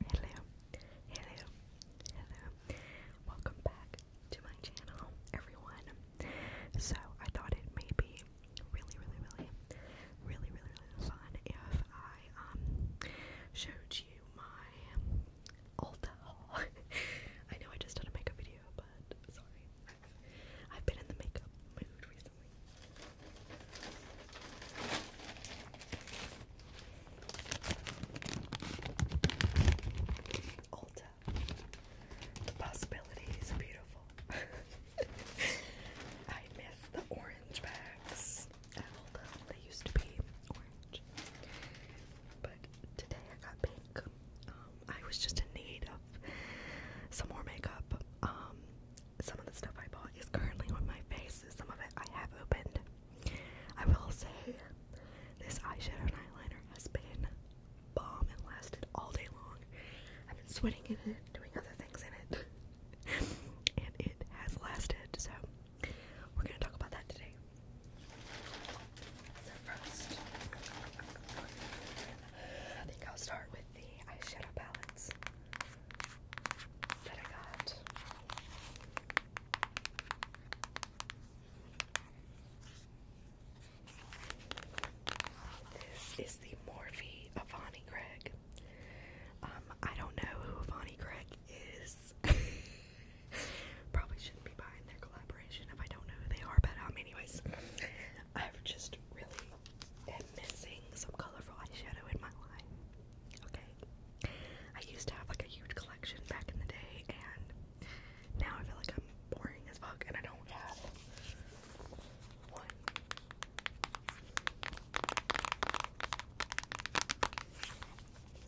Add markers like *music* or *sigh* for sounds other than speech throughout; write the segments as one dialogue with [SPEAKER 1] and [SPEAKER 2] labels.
[SPEAKER 1] Hello, hello, hello. Welcome back to my channel, everyone. So, I thought it may be really, really, really, really, really, really fun if I um showed you my old haul. *laughs* I know I just did a makeup video, but sorry. I've been in the makeup mood recently. Ulta. The possibility is beautiful. *laughs* I miss the orange bags at Ulta. They used to be orange. But today I got pink. Um, I was just in need of some more makeup. Um, some of the stuff I bought is currently on my face. Some of it I have opened. I will say this eyeshadow and eyeliner has been bomb. and lasted all day long. I've been sweating in it, doing other things in it, *laughs* and it has lasted. So we're gonna talk about that today. So first, I think I'll start with the eyeshadow palettes that I got. This is the Morphe Avani Greg. Um, I don't know who Avani Greg is. *laughs* Probably shouldn't be buying their collaboration if I don't know who they are, but um, anyways, i just really am missing some colorful eyeshadow in my life. Okay. I used to have like a huge collection back in the day, and now I feel like I'm boring as fuck, and I don't have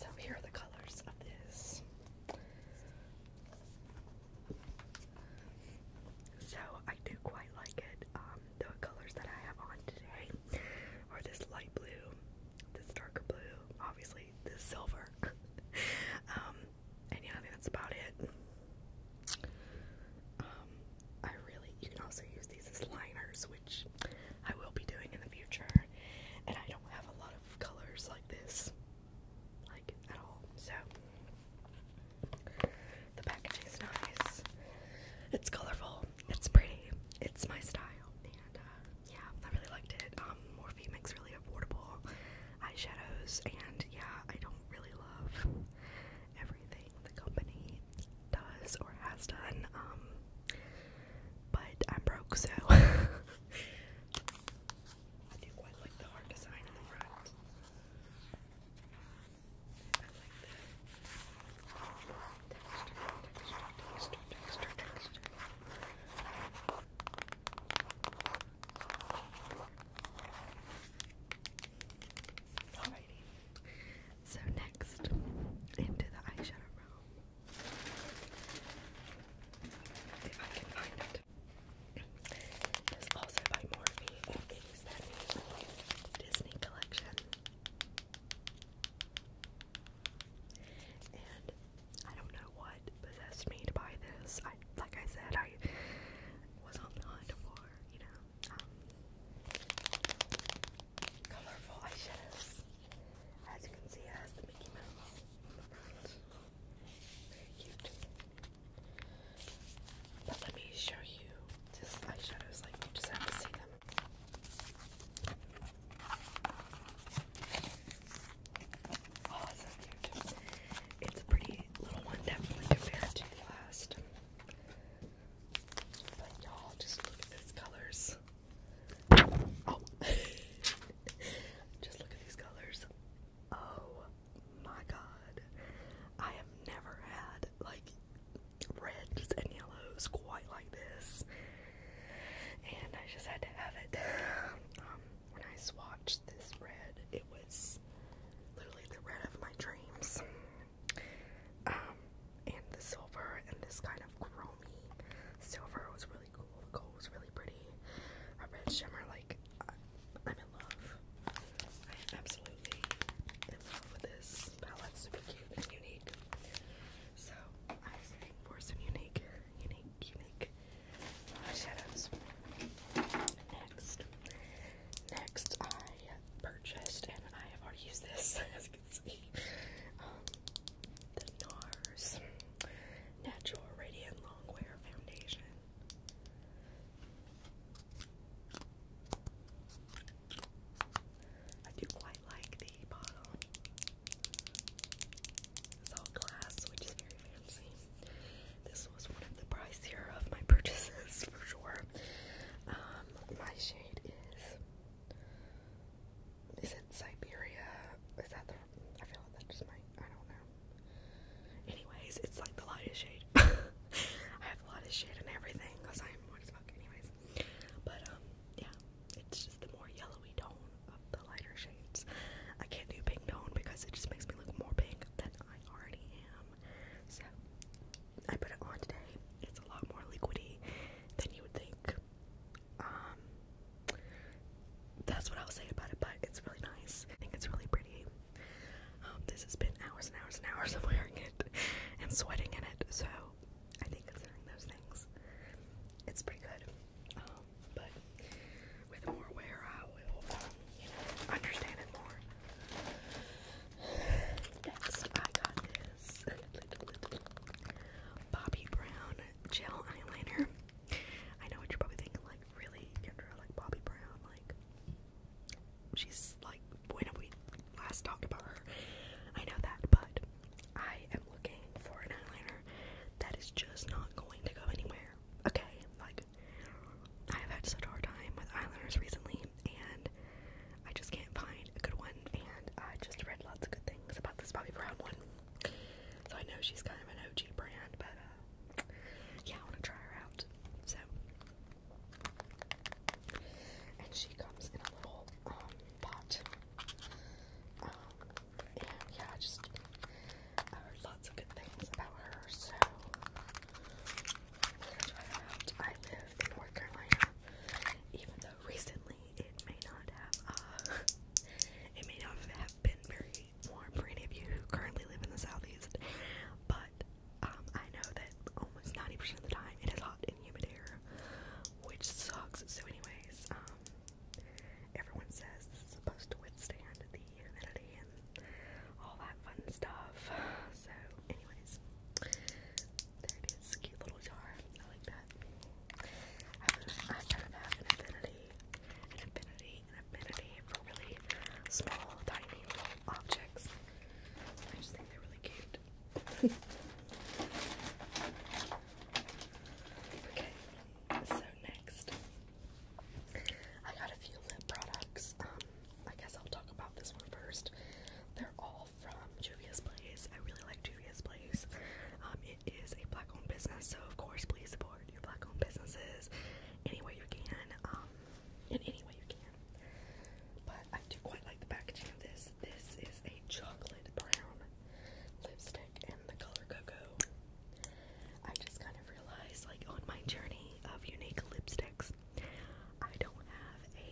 [SPEAKER 1] So here are the colors of this. So I do quite like it. Um, the colors that I have on today are this light blue this darker blue, obviously this silver. *laughs* Um, and yeah, I think that's about it. Um, I really you can also use these as liners, which I will be doing in the future. And I don't have a lot of colors like this, like at all. So the packaging is nice. It's colorful. It's pretty. It's my style. And uh, yeah, I really liked it. Um, Morphe makes really affordable eyeshadows. And yeah, I don't really love everything the company does or has done. Um, but I'm broke, so *laughs* I do quite like the heart design in the front texture, texture, Alrighty. So next, into the eyeshadow room. If I can find it. This also by Morphe Disney collection. I don't know what possessed me to buy this. I like I said, I was on the hunt for, you know, um, colorful eyeshadows. As you can see, it has the Mickey Mouse Very cute. But let me show you just eyeshadows, like you just have to see them. Oh, It's a pretty little one, definitely compared to the last. But y'all, just look at these colors. Oh, *laughs* just look at these colors. Oh my god, I have never had like reds and yellows quite like this and I just had to have it. Um, when I swatched this red, it was literally the red of my dreams. Um, and the silver and this kind of chromey silver was really cool. The gold was really pretty. A red shimmer, like I'm in love. I am absolutely in love with this palette. Super cute unique. So I was looking for some unique, unique, unique eyeshadows. Uh, next, next I purchased, and I have already used this *laughs* as you can see, um, the NARS Natural Radiant Longwear Foundation. I do quite like the bottle. It's all glass, which is very fancy. This was one of the pricier of my purchases *laughs* for sure. Um, my shade is is it Siberia? Is that the I feel like that just might I don't know. Anyways, it's like the lightest shade. *laughs* I have a lot of shade and everything because I'm what as fuck anyways. But um yeah, it's just the more yellowy tone of the lighter shades. I can't do pink tone because it just makes me look more pink than I already am. So I put it on today. It's a lot more liquidy than you would think. Um, that's what I'll say about it, but it's really nice. I think it's really pretty. Um, this has been hours and hours and hours of wearing it and sweating in it, so I think considering those things, it's pretty good. Um, but with more wear, I will, understand it more. Next, I got this Bobbi Brown gel eyeliner. I know what you're probably thinking, like, really, Kendra, like Bobbi Brown, like, she's like when we last talked about her. I know that, but I am looking for an eyeliner that is just not going to go anywhere. Okay, like I have had such a hard time with eyeliners recently, and I just can't find a good one. And I just read lots of good things about this Bobby Brown one, so I know she's kind of an OG brand, but uh, yeah, I want to try her out. So, and she comes in a little um pot. Um, and yeah, just I heard lots of good things about her. So I'm gonna try her out. I live in North Carolina, even though recently it may not have uh, *laughs* it may not have been very warm for any of you who currently live in the southeast, but um, I know that almost 90% of the time it is hot and humid here, which sucks. So, anyways, um, Everyone says this supposed to withstand the humidity and all that fun stuff. So, anyways, there it is. Cute little jar. I like that. I kind of have an affinity, an affinity, an affinity for really small, tiny little objects. I just think they're really cute. *laughs* Okay, so next, I got a few lip products. Um, I guess I'll talk about this one first. They're all from Juvia's Place. I really like Juvia's Place. Um, it is a black owned business, so of course, please support your black owned businesses any way you can. Um, in any way you can. But I do quite like the packaging of this this. is a chocolate brown lipstick in the color cocoa. I just kind of realized, like, on my journey of unique lipsticks, I don't have a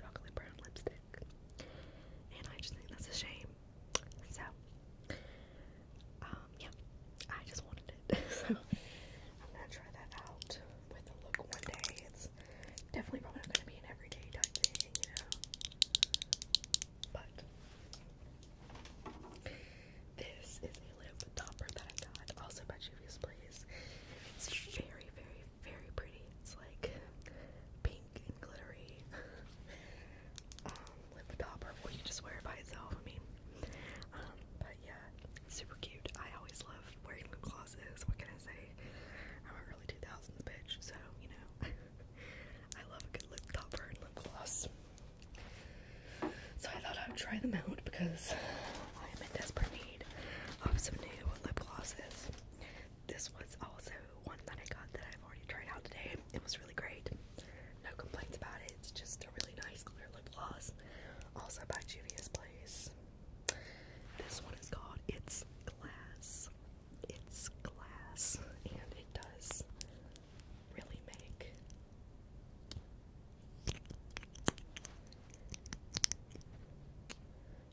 [SPEAKER 1] chocolate brown lipstick. And I just think that's a shame. So, um, yeah, I just wanted it. *laughs* so, I'm gonna try that out with a look one day. It's definitely probably not gonna be an everyday type thing, you know. But this is a lip topper that I got also by Juvia's Place. It's very, very, very pretty. It's like pink and glittery. *laughs* Um, lip topper, or you just wear it by itself. I mean, um, but yeah, super cute. I always love wearing lip glosses. What can I say? I'm a early 2000s bitch, so you know. *laughs* I love a good lip topper and lip gloss. So I thought I'd try them out because I am in desperate need of some new lip glosses. This was also one that I got that I've already tried out today. It was really great. No complaints about it. It's just a really nice clear lip gloss. Also by Juvia's Place. This one is called It's Glass it's glass and it does really make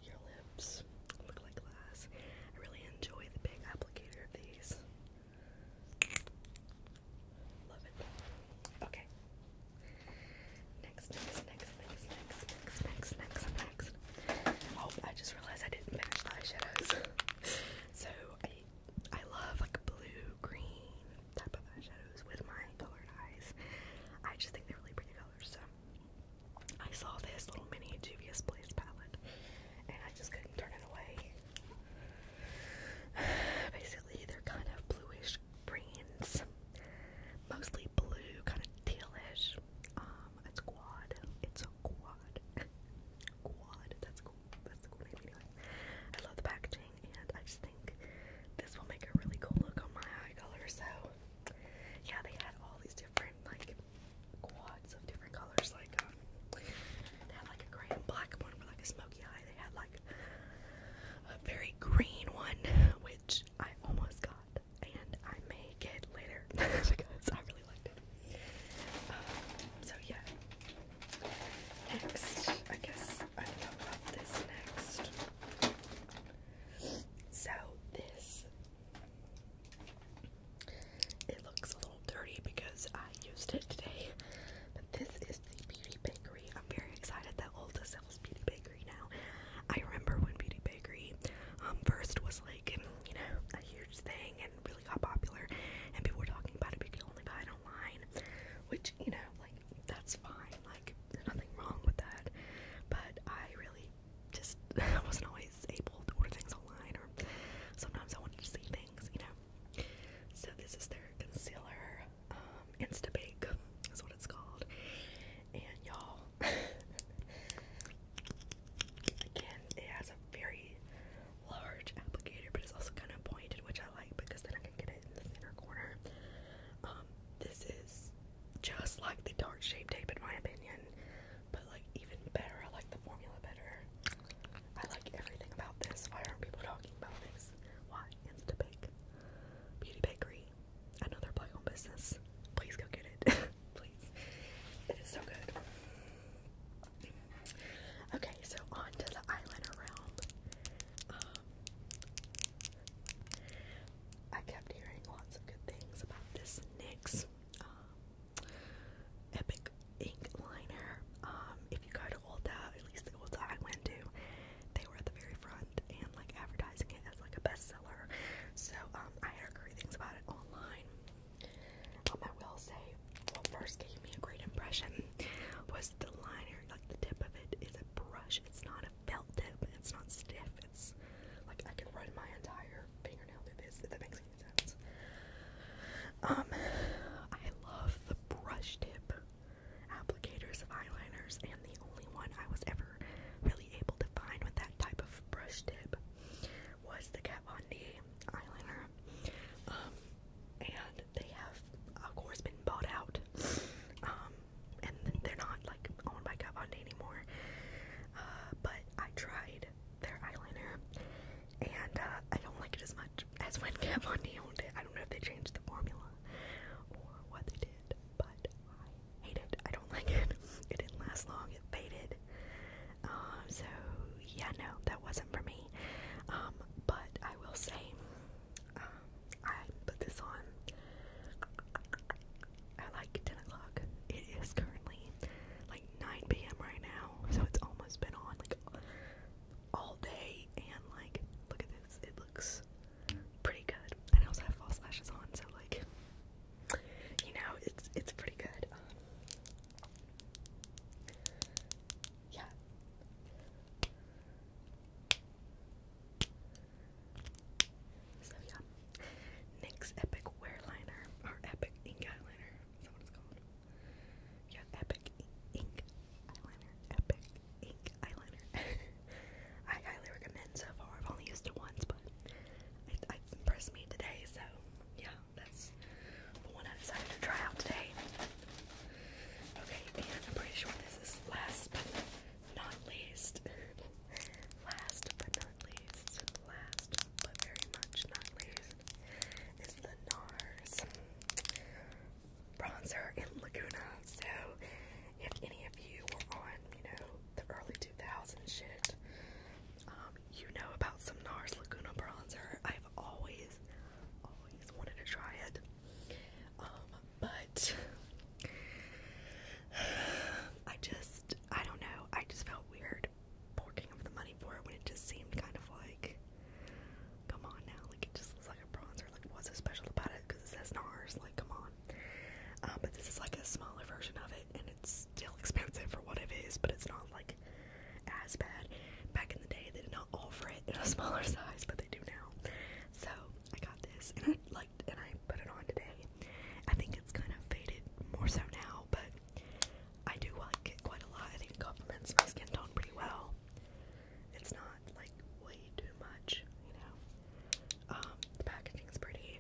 [SPEAKER 1] your lips look like glass. I really enjoy the big applicator of these. Love it. Okay. Next, next, next, next, next, next, next, next, Oh, I just realized I didn't finish the eyeshadows. *laughs* so I love like blue, green type of eyeshadows with my colored eyes. I just think they're really pretty colors. So I saw this little mini Juvia's Place palette and I just couldn't turn it away. *sighs* Basically, they're kind of bluish greens, mostly blue, kind of tealish. Um, it's quad. It's a quad. *laughs* quad. That's cool. That's cool I love the packaging and I just think this will make a really cool look on my eye color. So yeah, they had all these different like quads of different colors. Like um, they had like a gray and black one with like a smoky eye. They had like a very green one, which I almost got, and I may get later *laughs* because I really um, so yeah. Next, I guess I can talk about this next. So this it looks a little dirty because I used it today. But this is the Beauty Bakery. I'm very excited that Ulta sells Beauty Bakery now. I remember when Beauty Bakery um, first was like, you know, a huge thing really got popular and people were talking about it but you only buy it online which you know like that's fine like there's nothing wrong with that but I really just *laughs* wasn't always able to order things online or sometimes I wanted to see things you know so this is their concealer um, Insta Bake, is what it's called and y'all *laughs* Again, it has a very large applicator, but it's also kind of pointed, which I like because then I can get it in the center corner. Um, this is just like the dark shape tape, in my opinion, but like even better. I like the formula better. I like everything about this. Why aren't people talking about this? Why? Instabake. Beauty Bakery. Another black owned business. Please go get it. *laughs* Please. It is so good. Okay, so on to the eyeliner realm. Um, I kept hearing lots of good things about this NYX um, Epic Ink Liner. Um, if you go to Ulta, at least the Ulta I went to, they were at the very front and like advertising it as like a bestseller. So um, I heard great things about it online. Um, I will say, what first gave me a great impression was the liner. Like the tip of it is a brush. It's not a felt tip. It's not stiff. It's like I can run my entire fingernail through this. If that makes any sense. Um, I love the brush tip applicators of eyeliners, and the only one I was ever really able to find with that type of brush tip was the Kat Von D eyeliner. Um, and they have, of course, been bought out. Um, and they're not like owned by Kat Von D anymore. Uh, but I tried their eyeliner, and uh, I don't like it as much as when *laughs* Kat Von D owned it. I don't know if they changed the formula or what they did, but I hate it. I don't *laughs* like it. It didn't last long. It faded. Um, so yeah, no, that wasn't for me. Um, but I will say, um, I put this on at like 10 o'clock. It is currently like 9 p.m. right now, so it's almost been on like all day. And like, look at this, it looks pretty good. And I also have false lashes on, so like, you know, it's it's pretty good. Um, yeah. So yeah. NYX Epic Wear Liner or Epic Ink Eyeliner. Is that what it's called? Yeah, Epic Ink Eyeliner. Epic Ink Eyeliner. *laughs* I highly recommend so far. I've only used it once, but it, it impressed me today, so yeah that's the one I decided to try out today. Okay, and I'm pretty sure this is last but not least. *laughs* last but not least. Last but very much not least is the NARS bronzer in Laguna. So if any of you were on, you know, the early 2000s shit, um, you know about some NARS Laguna bronzer. I've always, always wanted to try it. Um, but *sighs* I just, I don't know. I just felt weird forking up the money for it when it just seemed kind of like, come on now. Like, it just looks like a bronzer. Like, what's so special about it? Because it says NARS. Like, come on. Um, but this is like a smaller version of it, and it's still expensive for what it is, but it's not like as bad. Back in the day, they did not offer it in a *laughs* smaller size, but they do now. So I got this, and I liked, and I put it on today. I think it's kind of faded more so now, but I do like it quite a lot. I think it complements my skin tone pretty well. It's not like way too much, you know. Um, the packaging is pretty.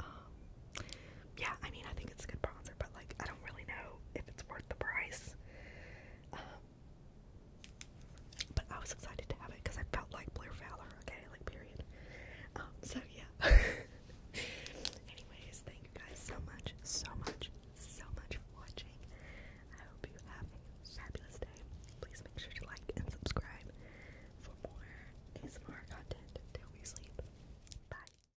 [SPEAKER 1] Um, yeah, I mean, I think it's a good bronzer, but like, I don't really know if it's worth the price. Um, but I was excited to have it because I felt like Blair Fowler, okay, like, period. Um, so yeah. *laughs* Anyways, thank you guys so much, so much, so much for watching. I hope you have a fabulous day. Please make sure to like and subscribe for more ASMR content until we sleep. Bye.